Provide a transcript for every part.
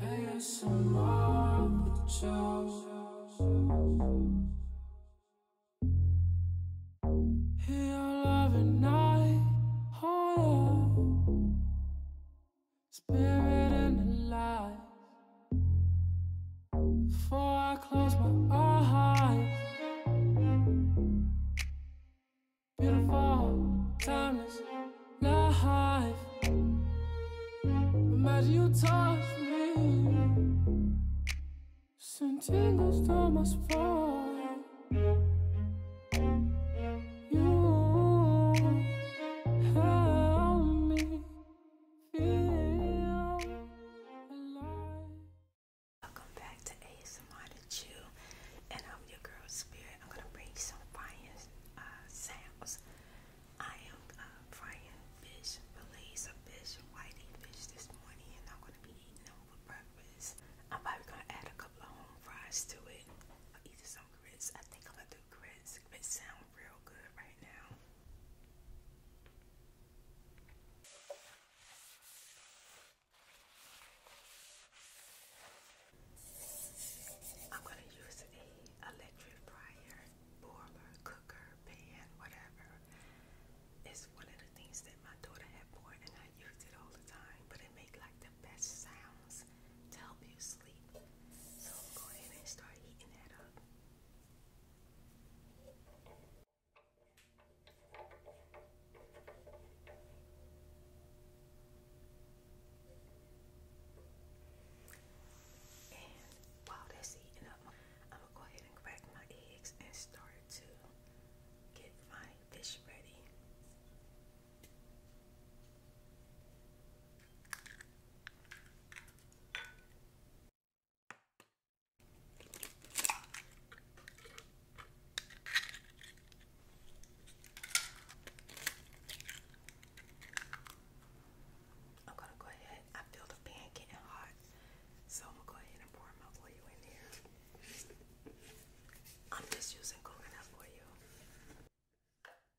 ASMR with Joe. Hear love and night harder. Spirit and the Before I close my eyes. Beautiful, timeless life. Imagine you touch me. Send tingles to my spine. Welcome back to ASMR to Chew, and I'm your girl Spirit. I'm gonna bring you some frying uh, sounds. I am uh, frying fish, fillets of fish, whiting fish this morning, and I'm gonna be eating them for breakfast. I'm probably gonna add a couple of home fries to it, or either some grits. I think I'm gonna do grits, real good right now. I'm going to use a electric fryer, boiler, cooker, pan, whatever. It's one of the things that my daughter had bought and I used it all the time, but it made like the best sounds to help you sleep. So go ahead and start eating that up. And while that's eating up, I'm gonna go ahead and crack my eggs and start to get my fish ready. I'm gonna go ahead. I feel the pan getting hot, so I'm gonna go ahead and pour my oil in there. I'm just using coconut oil.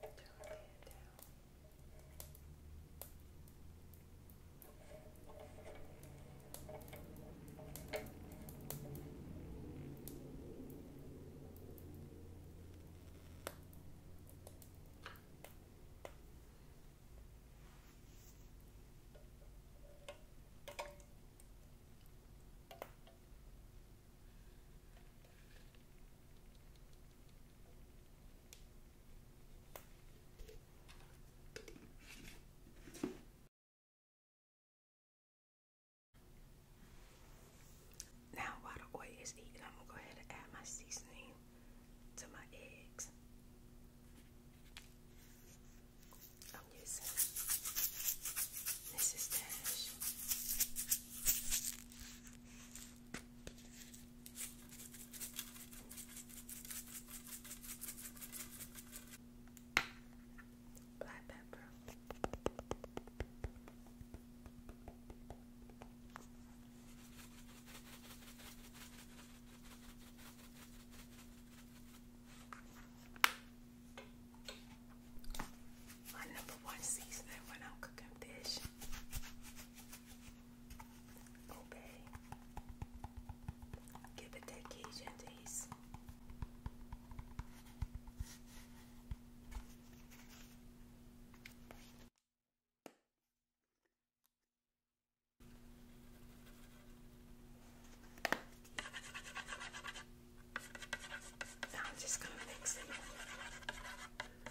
Don't lay it down. Good. Now while the oil is eating, I'm gonna go ahead and add my seasoning to my eggs. I'm using Mrs. Dash Black pepper. My one seasoning when I'm cooking fish Okay. Give it that Cajun taste. Now I'm just going to mix it.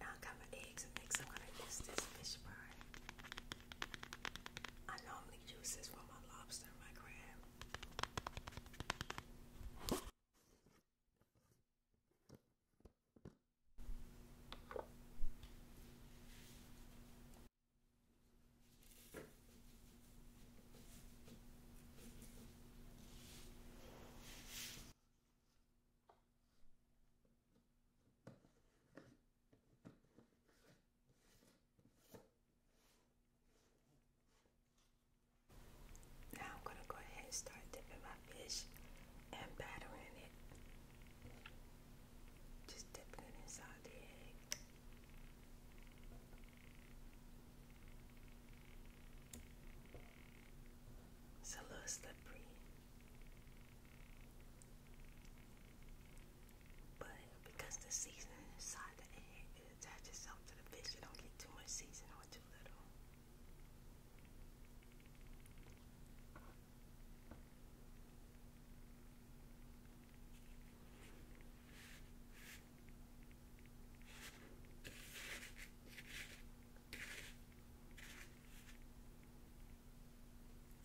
Now I got my eggs and mix. I'm gonna use this fish fry. I normally use this for my lobster my crab. Now I'm gonna go ahead and start dipping my fish and battering it. Just dipping it inside the It's a little slippery. But because the seasoning inside the egg, attaches itself to the fish. You don't get too much seasoning or too little.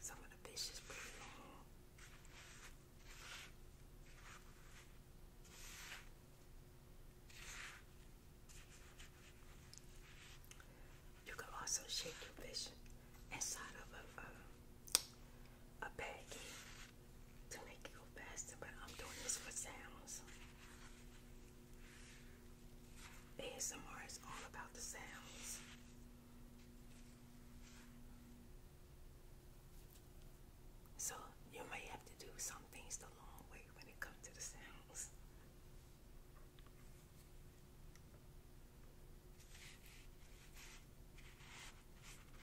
Some of the fish is pretty You can also shake your fish inside of a a baggie to make it go faster, but I'm doing this for sounds. ASMR is all about the sounds. So you may have to do some things the long way when it comes to the sounds.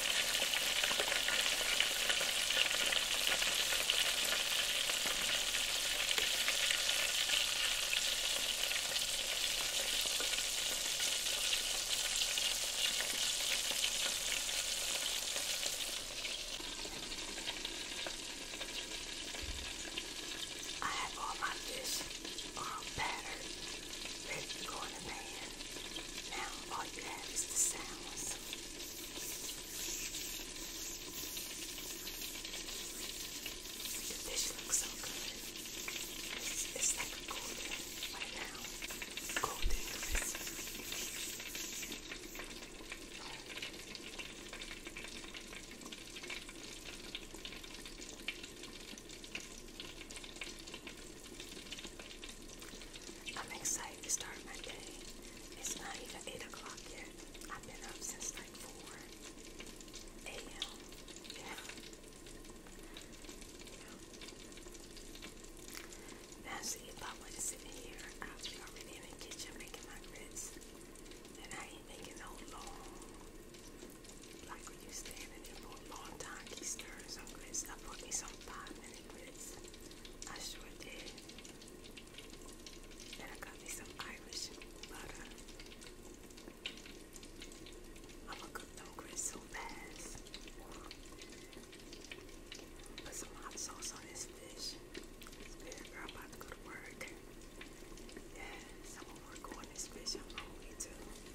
I have all my fish on um, batter ready to go in the pan. Now all you have is the sounds. The fish looks so good. It's, like golden right now. Golden I'm excited to start my day. It's not even 8 o'clock yet. I've been up since like 4 a.m. Yeah. yeah. Now see if I was sitting here, i already in the kitchen making my grits. And I ain't making no long, like when you standing there for a long time, keep stirring some grits. I put me some five I sure did. Then I got me Irish butter. I'm gonna cook them grits so fast. Put some hot sauce on this fish. Spirit girl about to go to work. Yes, I'm going on this fish. I'm hungry too.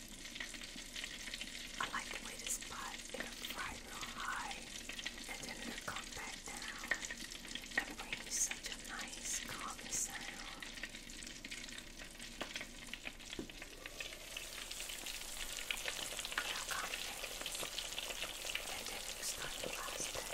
I like the way this pot, it'll fry real high and then it'll come back down and bring you such a nice calming sound. It'll come back and then it start to rise back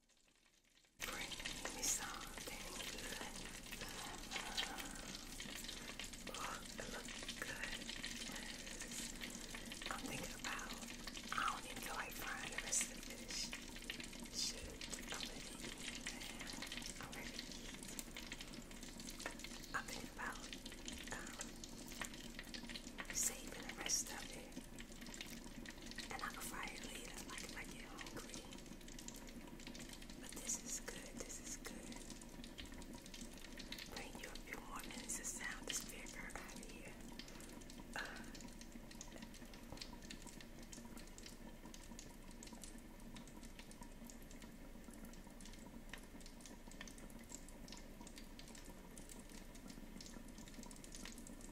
Bring me something good. Look, good. I'm thinking about, I don't even feel like frying the rest of the Shoot, I'm ready I'm thinking about um, saving the rest of it. And I can fry it later, like if I get hungry. But this is good, this is good. Bring you a few more minutes of sound to spare out here.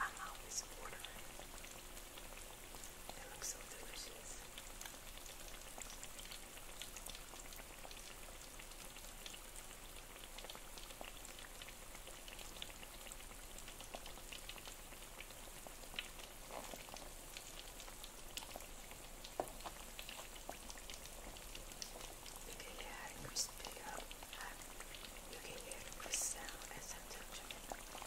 I'm always ordering. It looks so delicious. You can hear it crispy up. You can hear the crisp sound as I touch it.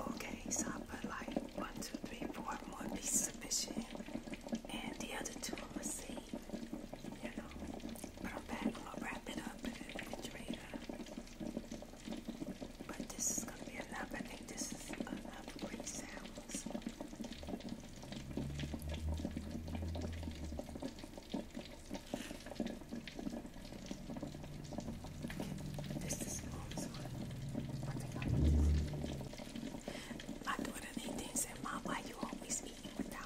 Okay, so like one, two, three, four more pieces of and the other two I'm gonna save, you know. But I'm back, I'm gonna wrap it up the refrigerator. But this is gonna be enough. I think this is enough great sounds. This is mom's my daughter Nadine said, Mom, why you always eating without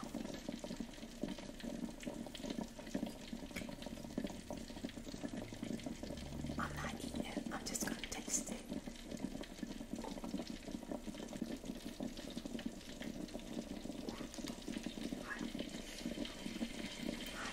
I'm not eating it. I'm just going to taste it. Hot. Hot.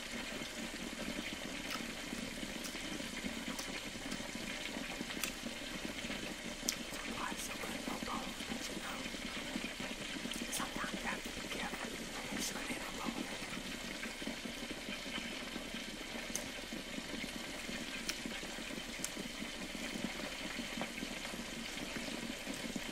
Otherwise, it would go bold, as you know. Sometimes you have to be careful to make sure they don't go in. I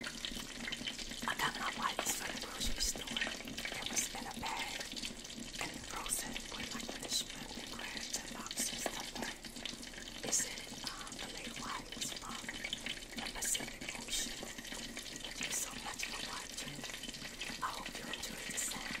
I got my wipes from the grocery store. It was in a bag and frozen with like punishment and crabs and and stuff like It said um, the late wife was from the Thank you so much for watching. I hope you enjoyed the sounds.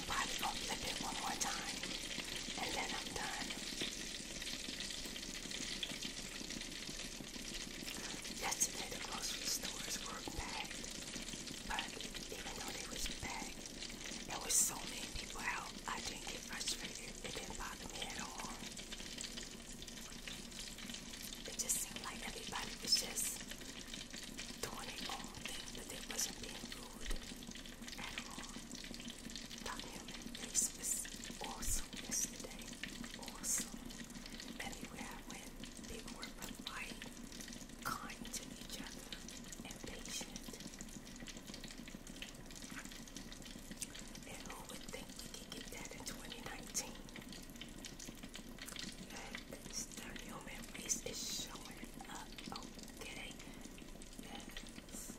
I'm gonna flip it one more time and then I'm done. Yesterday the grocery stores were packed, but even though they was packed, there was so many people out, I didn't get frustrated. It didn't bother me at all. It just seemed like everybody was just doing their own thing, but they wasn't being rude food at all. Dr. Human Face was awesome yesterday. Awesome. Everywhere I went, people were polite, kind to each other, and patient. And who would think we could get that in 2019? That Mr. Human Race is showing up getting this.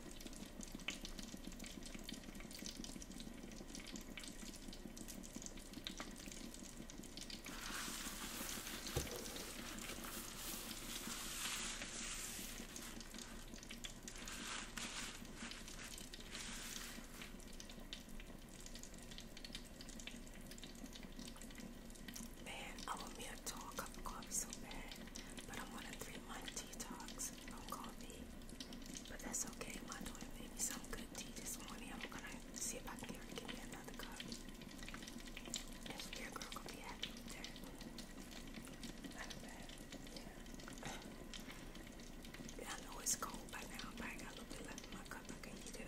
Man, I want me a tall cup of coffee so bad, but I'm on a three-month detox from coffee. But that's okay. My daughter made me some good tea this morning. I'm gonna see if I can get me another cup. And your girl going be happy with Not bad. Yeah. I know it's cold by now, but I got a little bit in my cup. I can heat it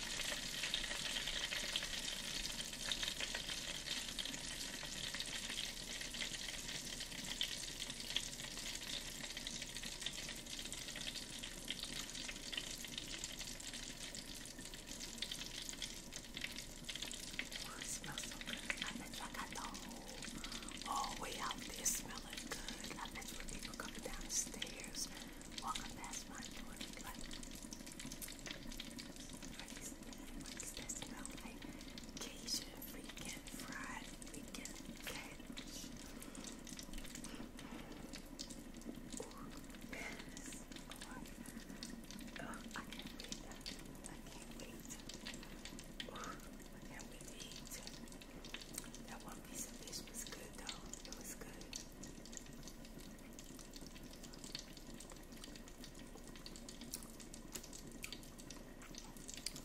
Oh, it smells so good. I bet you got the whole, way out there smelling good. I bet you people coming down Welcome past my door to do What's that smell like? Cajun freaking fried freaking catfish. Ooh, Oh, I can't wait. I can't wait. I can't wait That one piece of fish was good though. It was good.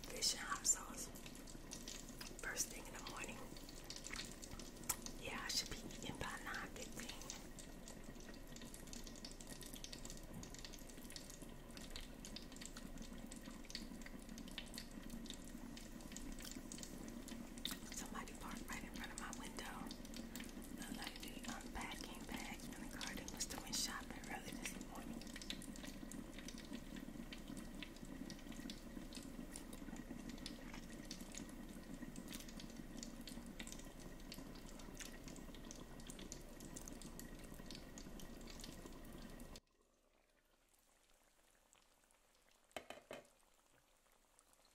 Fish and hot sauce. First thing in the morning. Yeah, I should be eating by 9.15. Somebody somebody parked right in front of my window. The lady unpacking bags in the garden was doing shopping early this morning.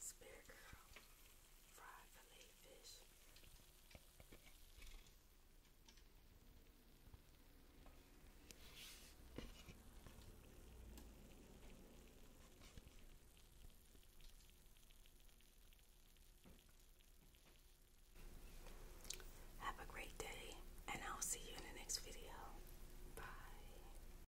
Spear Girl Fried Filet Fish. Have a great day, and I'll see you in the next video. Bye.